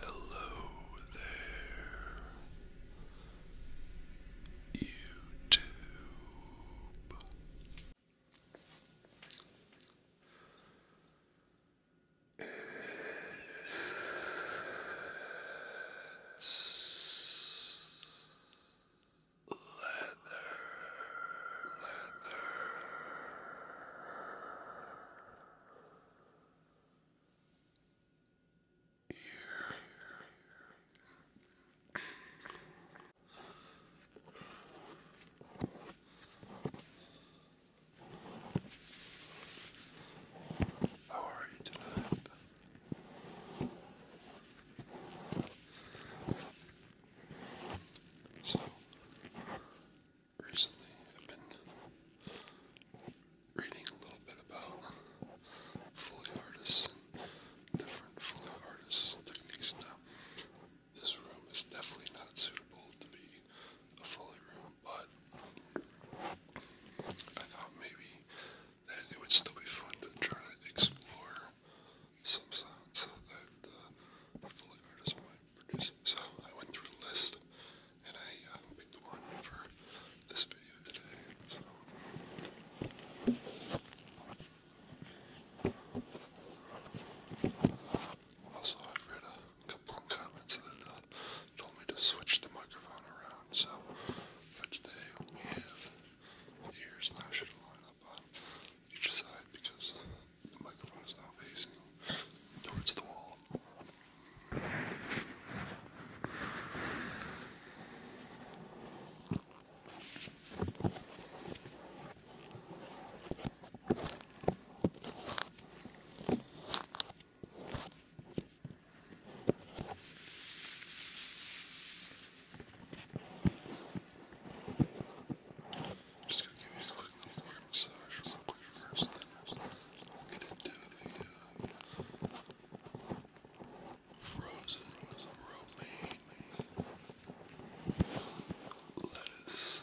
Hello there, YouTube. Let's leather, leather. Here. How are you tonight? So recently I've been reading a little bit about Foley artists and different Foley artists techniques now. This room is definitely not suitable to be a Foley room but I thought maybe that it would still be fun to try to explore some sounds that uh, the Foley artist might produce. So I went through a list and I uh, picked one for this video today. So. Also, i read a couple of comments that uh, told me to switch the microphone around, so today we have the ears now should line up on each side because the microphone is now facing towards the wall. Just gonna give you a quick little hair massage real quick first, then we'll get into the uh, frozen romaine lettuce.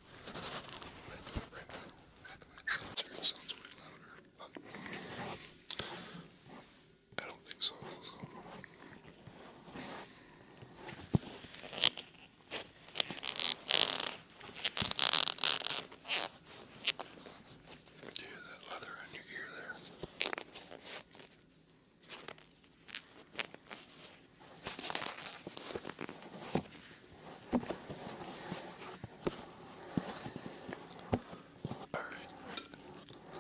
Right, but right now, having it solitary sounds way louder, but I don't think so. so. Do you hear that leather on your ear there? Alright,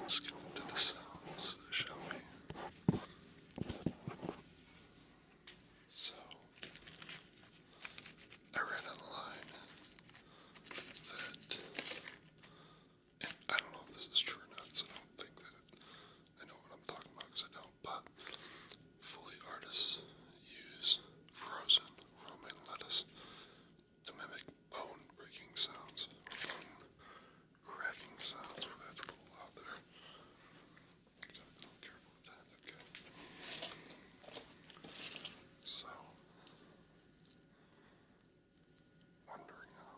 let's go into the sounds, shall we? So, I read online that, and I don't know if this is true or not, so don't think that I know what I'm talking about because I don't but fully artists use frozen romaine lettuce to mimic bone breaking sounds cracking sounds. that's a little there. So, wondering how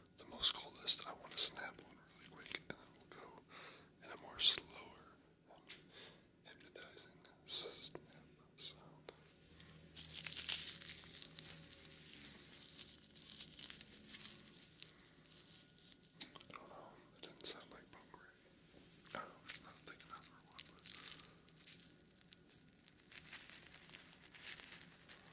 the most coldest, I want to snap one really quick, and then we'll go in a more slower, hypnotizing snap sound. I don't know, it didn't sound like punk rock. I oh, it's not thick enough or what, but...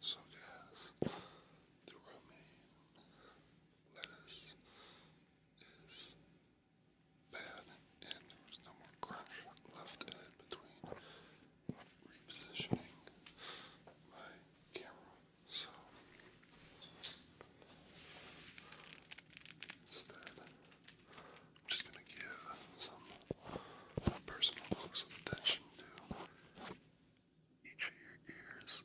So, guys, the romaine lettuce is bad and there was no more crunch left in it between repositioning my camera. So instead, I'm just going to give some personal focus of attention to each of your ears.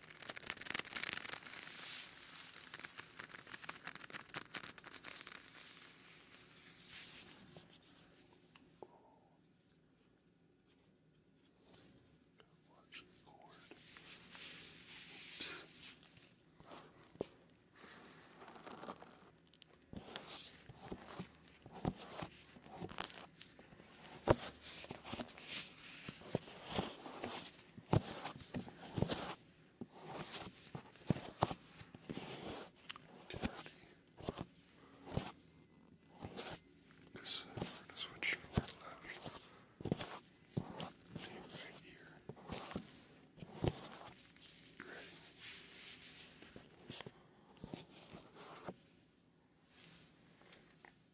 Watch the cord. Oops. Because we're going to switch from left to right here. Ready?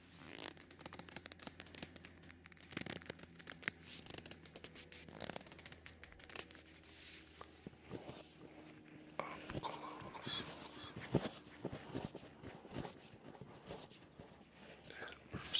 Up close and personal for your pleasure.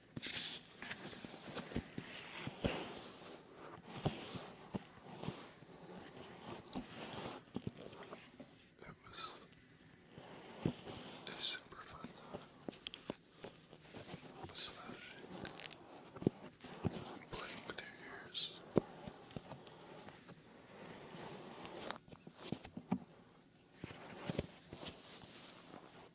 It was a super fun massaging and playing with your ears.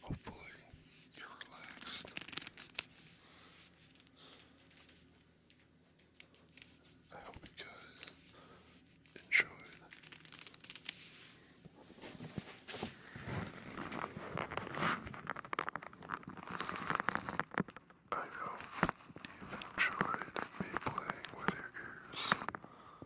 Hopefully, you're relaxed. I hope you guys enjoyed. I hope you enjoyed me playing with your ears.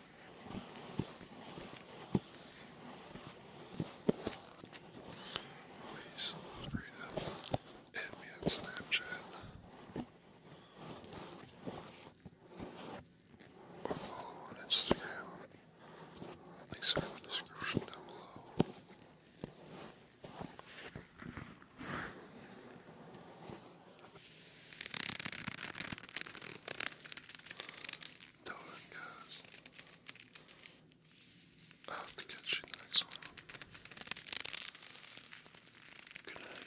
Please feel free to hit me on Snapchat or follow on Instagram. Links are in the description down below. Tell them, guys. I have to catch you the next one. Good night,